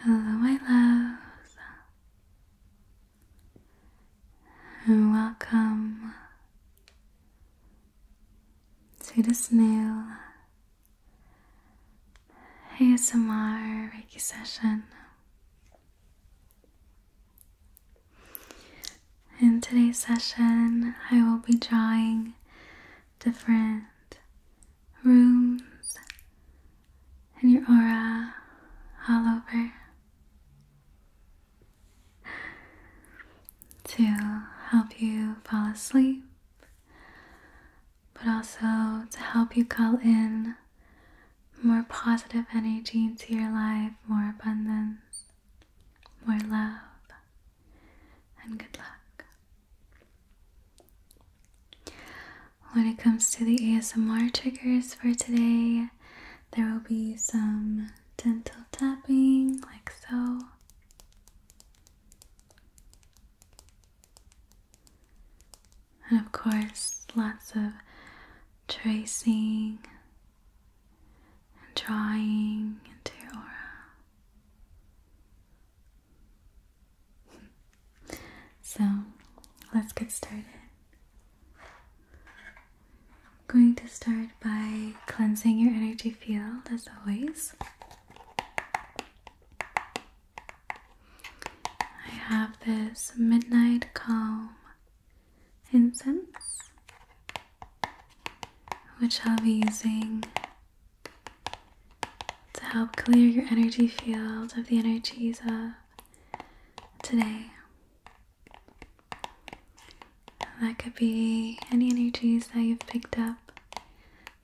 Hello, my loves, and welcome to this new ASMR Reiki session. In today's session, I will be drawing different rooms and your aura all over to help you fall asleep, but also to help you call in more positive energy into your life, more abundance, more love, and good luck. When it comes to the ASMR triggers for today, there will be some dental tapping, like so. And of course, lots of tracing and drawing into your aura. So let's get started. I'm going to start by cleansing your energy field as always. I have this Midnight Calm incense, which I'll be using to help clear your energy field of the energies of today. That could be any energies that you've picked up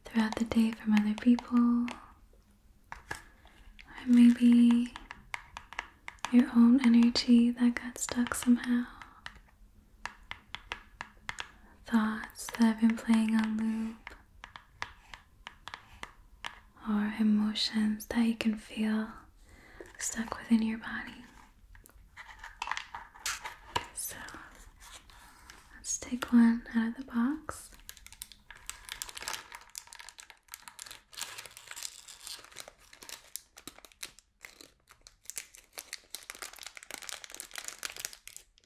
throughout the day from other people, or maybe your own energy that got stuck somehow. Thoughts that have been playing on loop or emotions that you can feel stuck within your body. So let's take one out of the box.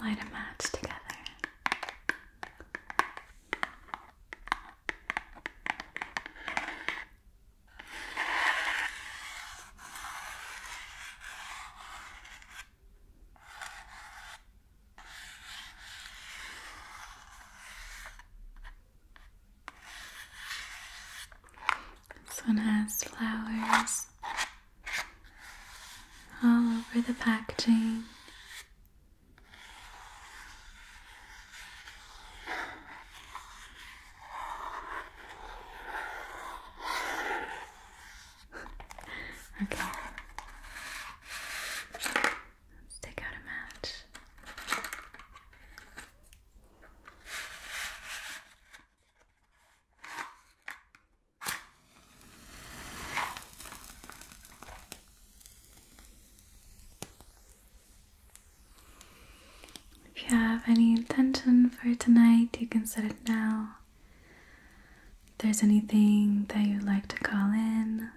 Light a match together. This one has flowers all over the packaging. okay. Let's take out a match. If you have any intention for tonight, you can set it now. If there's anything that you'd like to call in,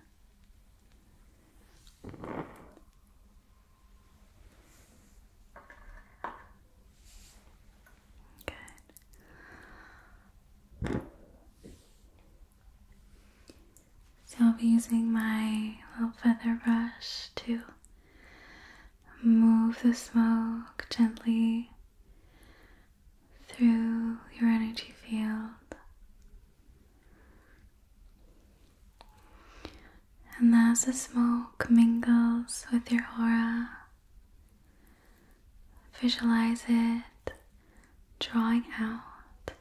Good. So I'll be using my little feather brush to move the smoke gently through your energy field. And as the smoke mingles with your aura, Visualize it drawing out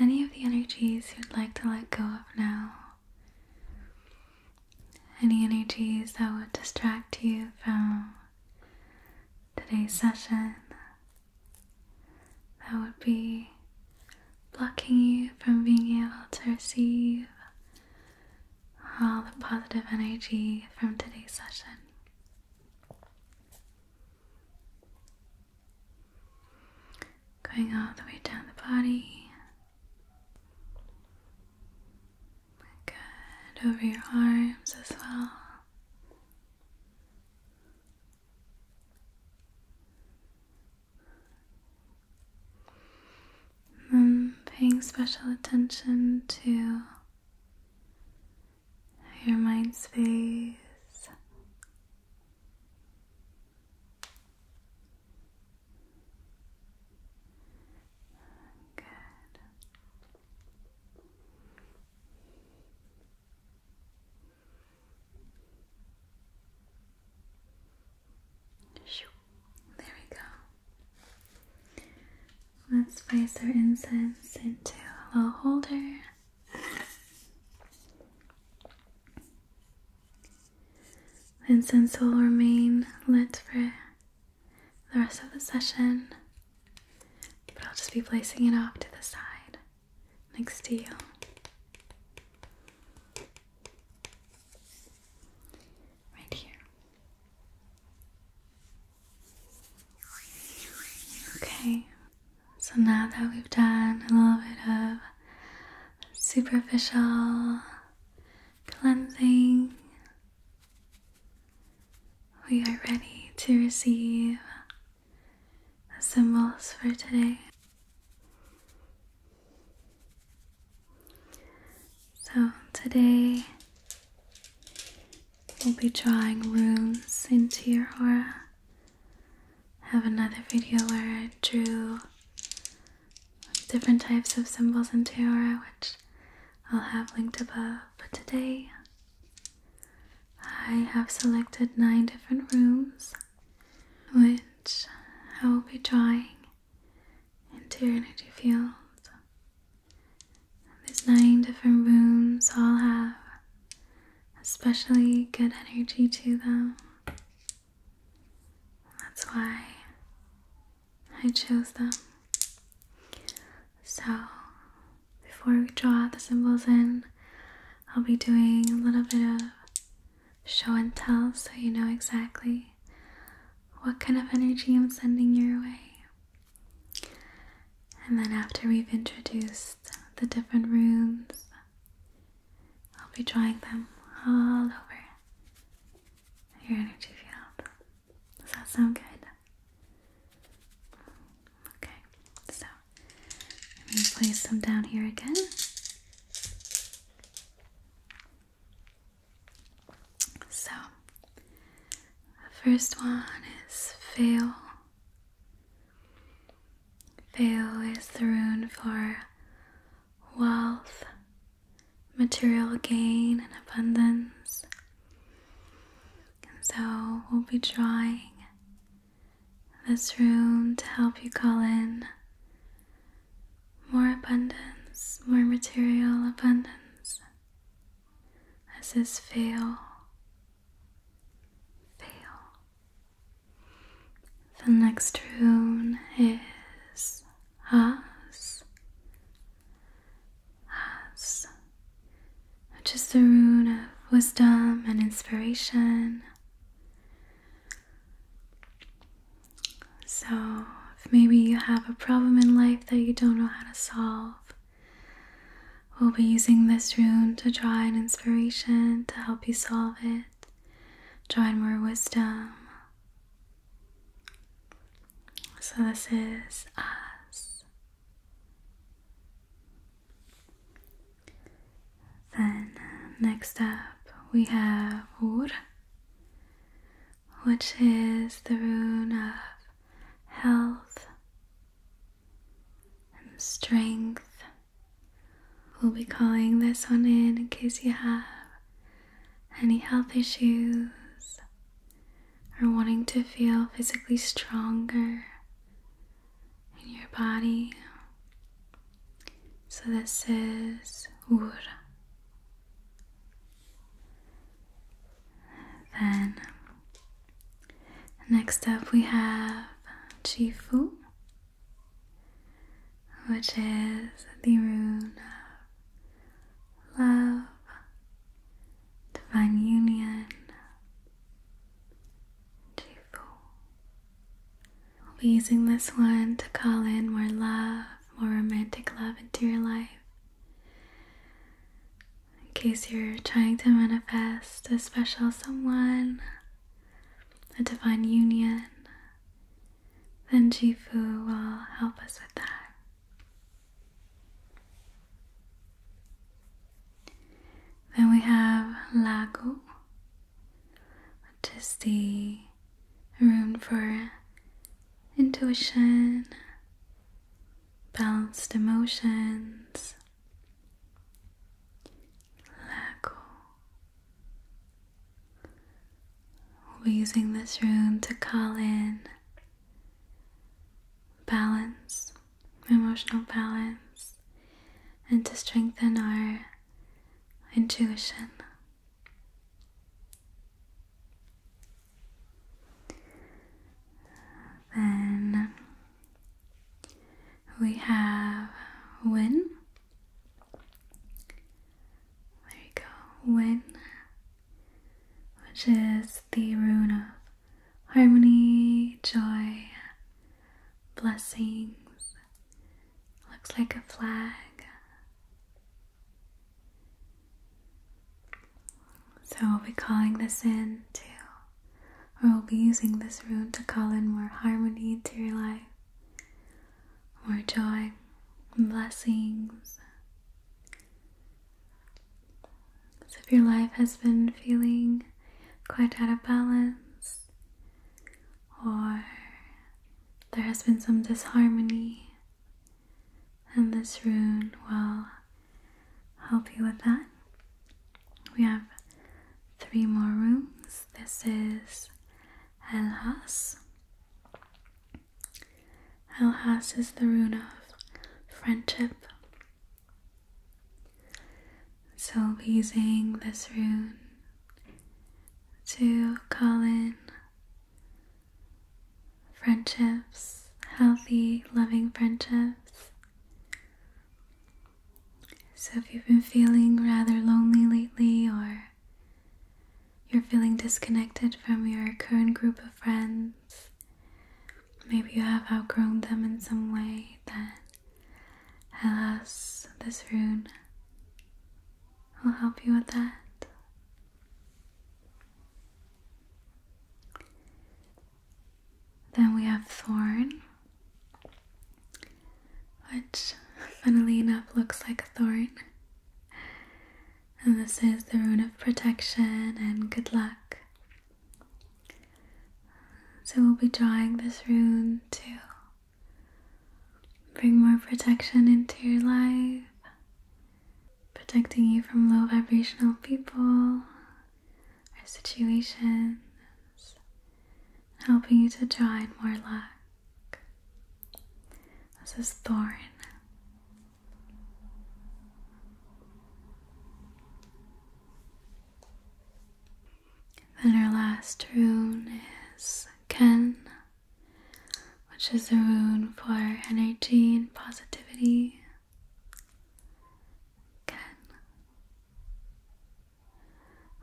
any of the energies you'd like to let go of now. Any energies that would distract you from today's session, that would be blocking you from being able to receive all the positive energy from today's session. Going all the way down the body, good over your arms as well paying special attention to your mind space. Good. There we go. Let's place our incense into a little holder. The incense will remain lit for the rest of the session, but I'll just be placing it off to the side next to you. Right here. Okay, so now that we've done a little bit of superficial cleansing, we are ready to receive the symbols for today. So today we'll be drawing rooms into your aura. I have another video where I drew different types of symbols into your aura, which I'll have linked above. But today I have selected nine different rooms, which I will be drawing into your energy field. These nine different rooms, all have especially good energy to them. That's why I chose them. So, before we draw the symbols in, I'll be doing a little bit of show and tell so you know exactly what kind of energy I'm sending your way. And then, after we've introduced the different rooms, I'll be drawing them all over your energy field. Does that sound good? Okay, so I'm going to place them down here again. So, the first one is fail. Fail is the rune for wealth, material gain, and abundance. And so, we'll be drawing this room to help you call in more abundance, more material abundance that says fail, fail. The next rune is us, us, which is the rune of wisdom and inspiration. So, if maybe you have a problem in life that you don't know how to solve, we'll be using this rune to draw in inspiration to help you solve it, draw in more wisdom. So, this is us. Then, uh, next up, we have Wood which is the rune of health and strength. We'll be calling this one in in case you have any health issues or wanting to feel physically stronger in your body. So this is Ur. Then next up we have Chifu, which is the rune of love, divine union. Chifu. I'll be using this one to call in more love, more romantic love into your life. In case you're trying to manifest a special someone, a divine union, then Jifu will help us with that. Then we have Lago, to see room for intuition, balanced emotions. Lago. We'll be using this room to call in balance, emotional balance, and to strengthen our intuition. Then we have win. There you go, win, which is the rune of harmony, joy, blessings. Looks like a flag, so we'll be calling this in too, or we'll be using this rune to call in more harmony into your life, more joy, blessings. So if your life has been feeling quite out of balance, or there has been some disharmony and this rune will help you with that. We have three more rooms. This is El Has. El Has is the rune of friendship. So we will be using this rune to call in friendships, healthy, loving friendships. So, if you've been feeling rather lonely lately, or you're feeling disconnected from your current group of friends, maybe you have outgrown them in some way, then alas, this rune will help you with that. Then we have thorn, which funnily enough looks like a thorn. And this is the rune of protection and good luck. So we'll be drawing this rune to bring more protection into your life, protecting you from low vibrational people or situations, helping you to draw in more luck. This is Thorn. Then our last rune is Ken which is the rune for energy and positivity. Again,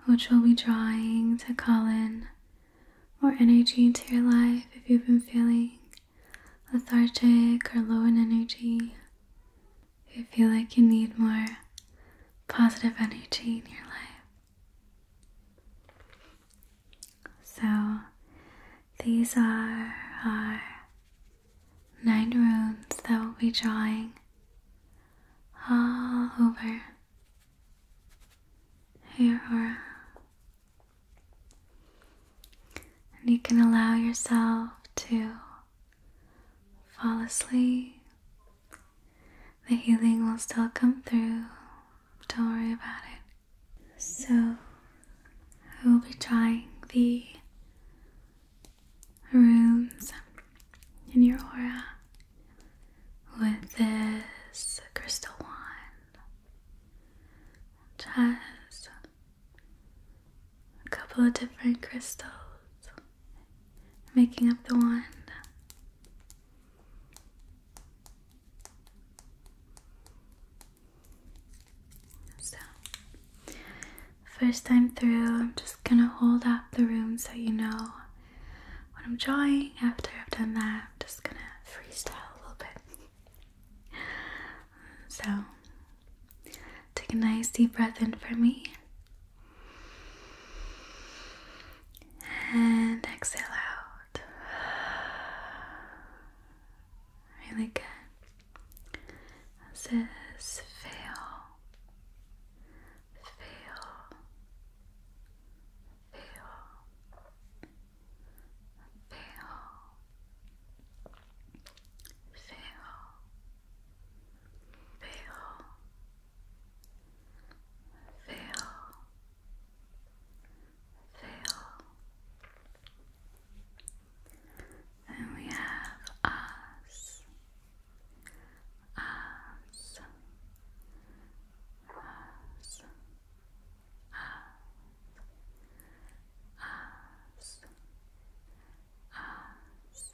which will be drawing to call in more energy into your life if you've been feeling lethargic or low in energy. If you feel like you need more positive energy in your life. So these are our nine runes that we'll be drawing all over your aura. And you can allow yourself to fall asleep. The healing will still come through. Don't worry about it. So I will be trying the rooms in your aura with this crystal wand. Just a couple of different crystals making up the wand. So, first time through, I'm just gonna hold up the room so you know what I'm drawing. After I've done that, I'm just gonna freestyle a little bit. So, take a nice deep breath in for me. And exhale out. Really good. This fail, fail, fail, fail, fail, fail, fail fail. Then we have us, us, us, us, us, us. Us.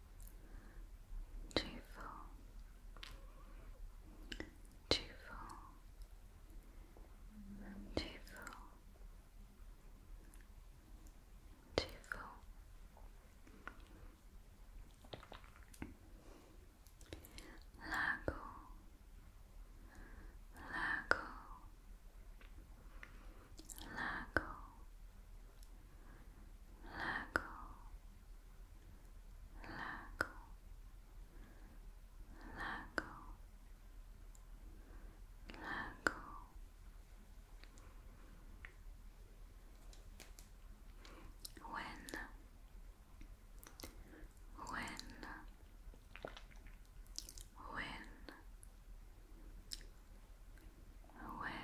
cheerful, cheerful, cheerful, cheerful. Lago, lago, lago, Lago, Lago, Lago, Lago. When, when, when, when,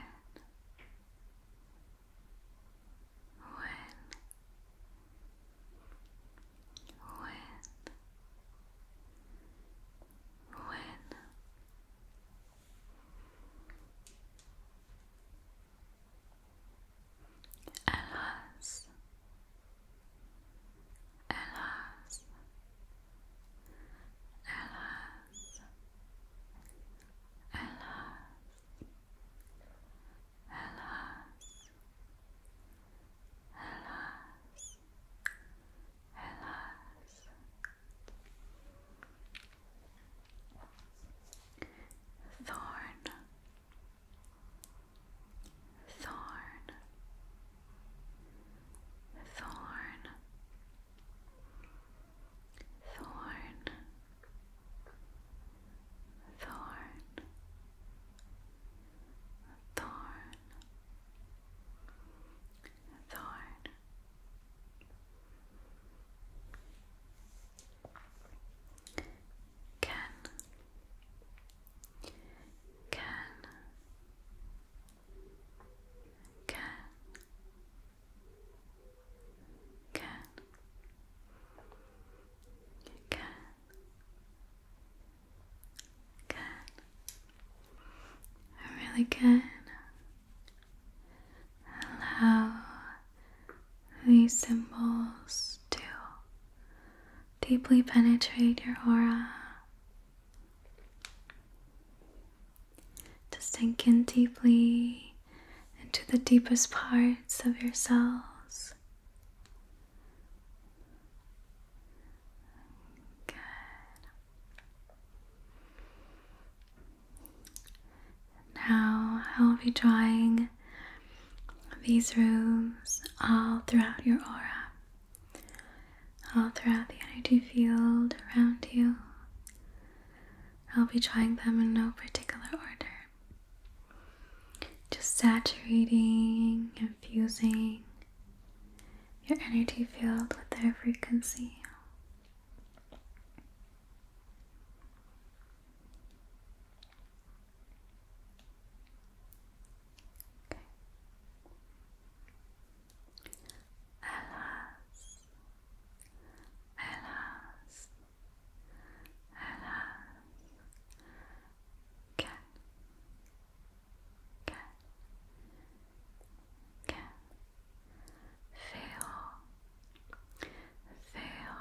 when, when Alas, alas, alas, Alas, alas, alas, alas. Thorn, thorn, thorn, thorn, thorn, thorn, thorn. Can, can, can can you can really can allow these symbols to deeply penetrate your aura to sink in deeply into the deepest parts of yourselves. Good. Now I'll be drawing these rooms all throughout your aura, all throughout the energy field around you. I'll be trying them in no particular order. Just saturating, infusing your energy field with their frequency. Okay. Alas, alas, alas, can, can, can fail, fail, fail,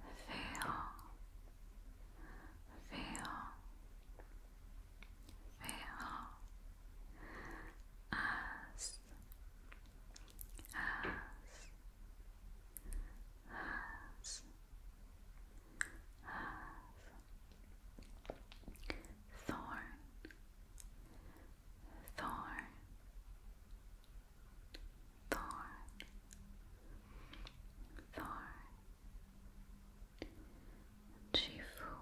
fail, fail. Fail, as, as, as, as. Thorn, thorn, thorn, thorn. Chifu,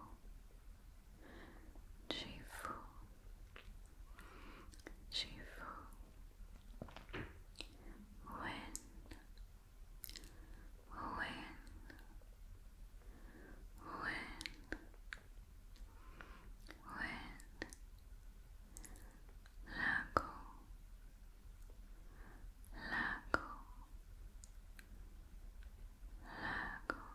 Shifu Shifu When When When When Lago Lago Lago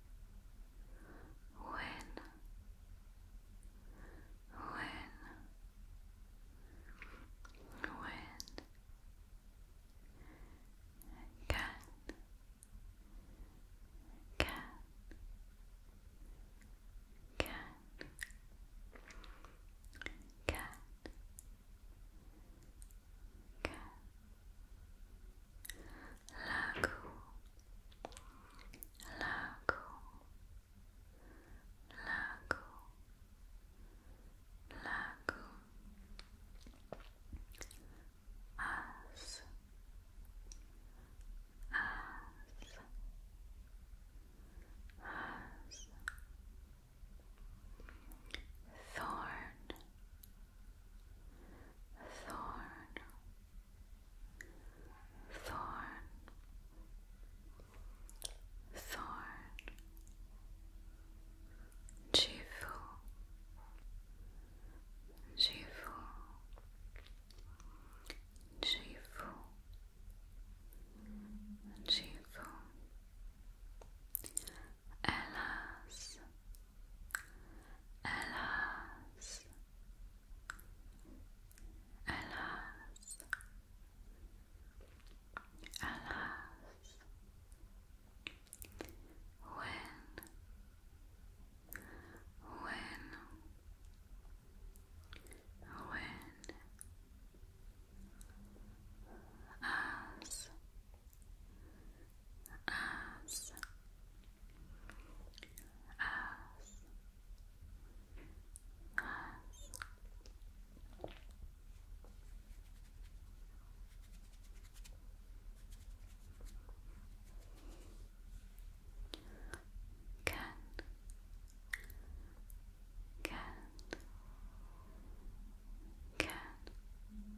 when when when can can can can can lago, lago, lago, lago, as, as, as, thorn, thorn, thorn, thorn, Jifu, Jifu, Jifu, Jifu, Elas, Alas, alas, alas, when, when, when, as, as, as as can can can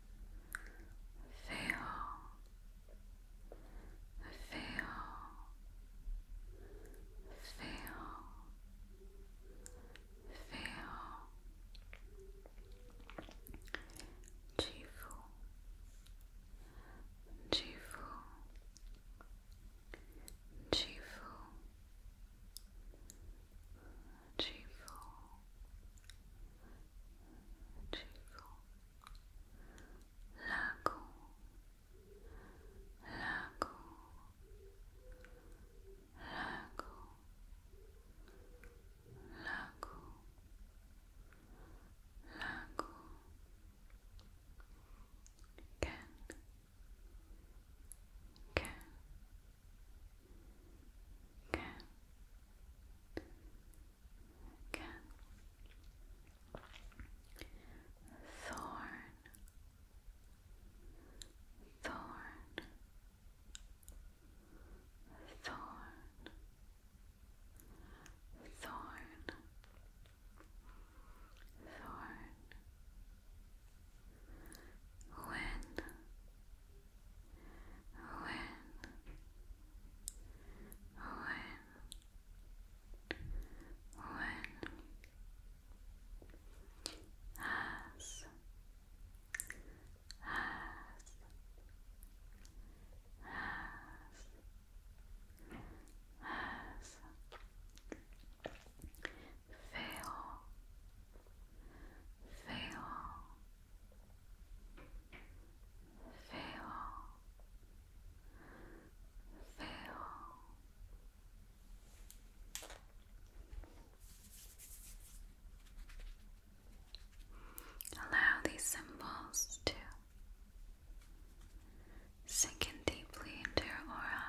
feel, feel, feel, feel, Jifu, Jifu, Jifu, cheerful, cheerful, lago, lago, lago, lago, lago, can, can, can. Again. Thorn. Thorn. Thorn. Thorn. Thorn. When Owen Owen Owen has has has has fail fail feel, feel. Allow these symbols to sink in deeply into your aura.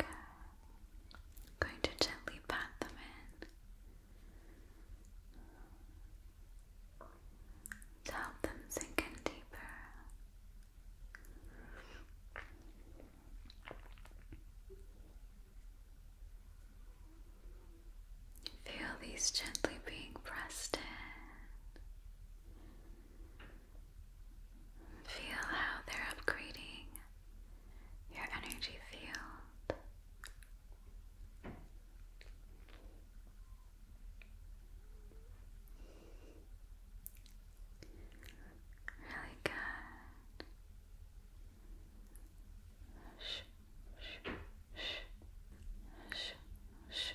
I'm going to gently pat them in to help them sink in deeper. Feel these gently being pressed in Feel how they're upgrading your energy field. Really good. Shh, shh, shh, shh, shh, shh.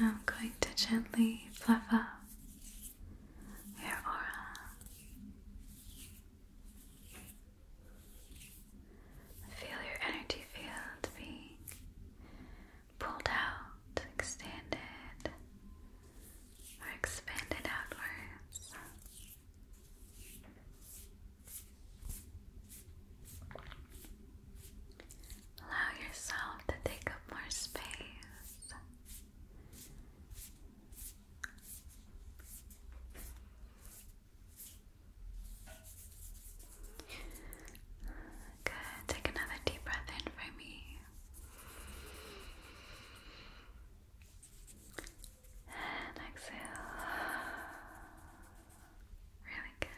Now I'm going to gently fluff up your aura. Feel your energy field being pulled out, extended, or expanded outwards. Allow yourself to take up more space. Good. Take another deep breath in for me. And exhale. Really good.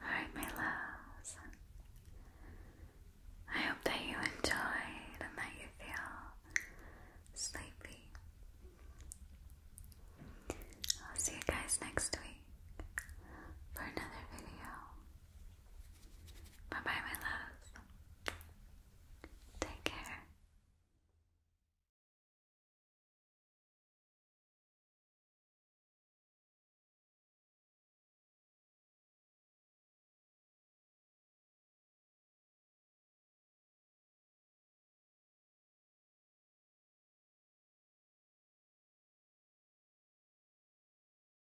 Alright, my loves. I hope that you enjoyed and that you feel sleepy. I'll see you guys next week for another video. Bye bye, my love. Take care.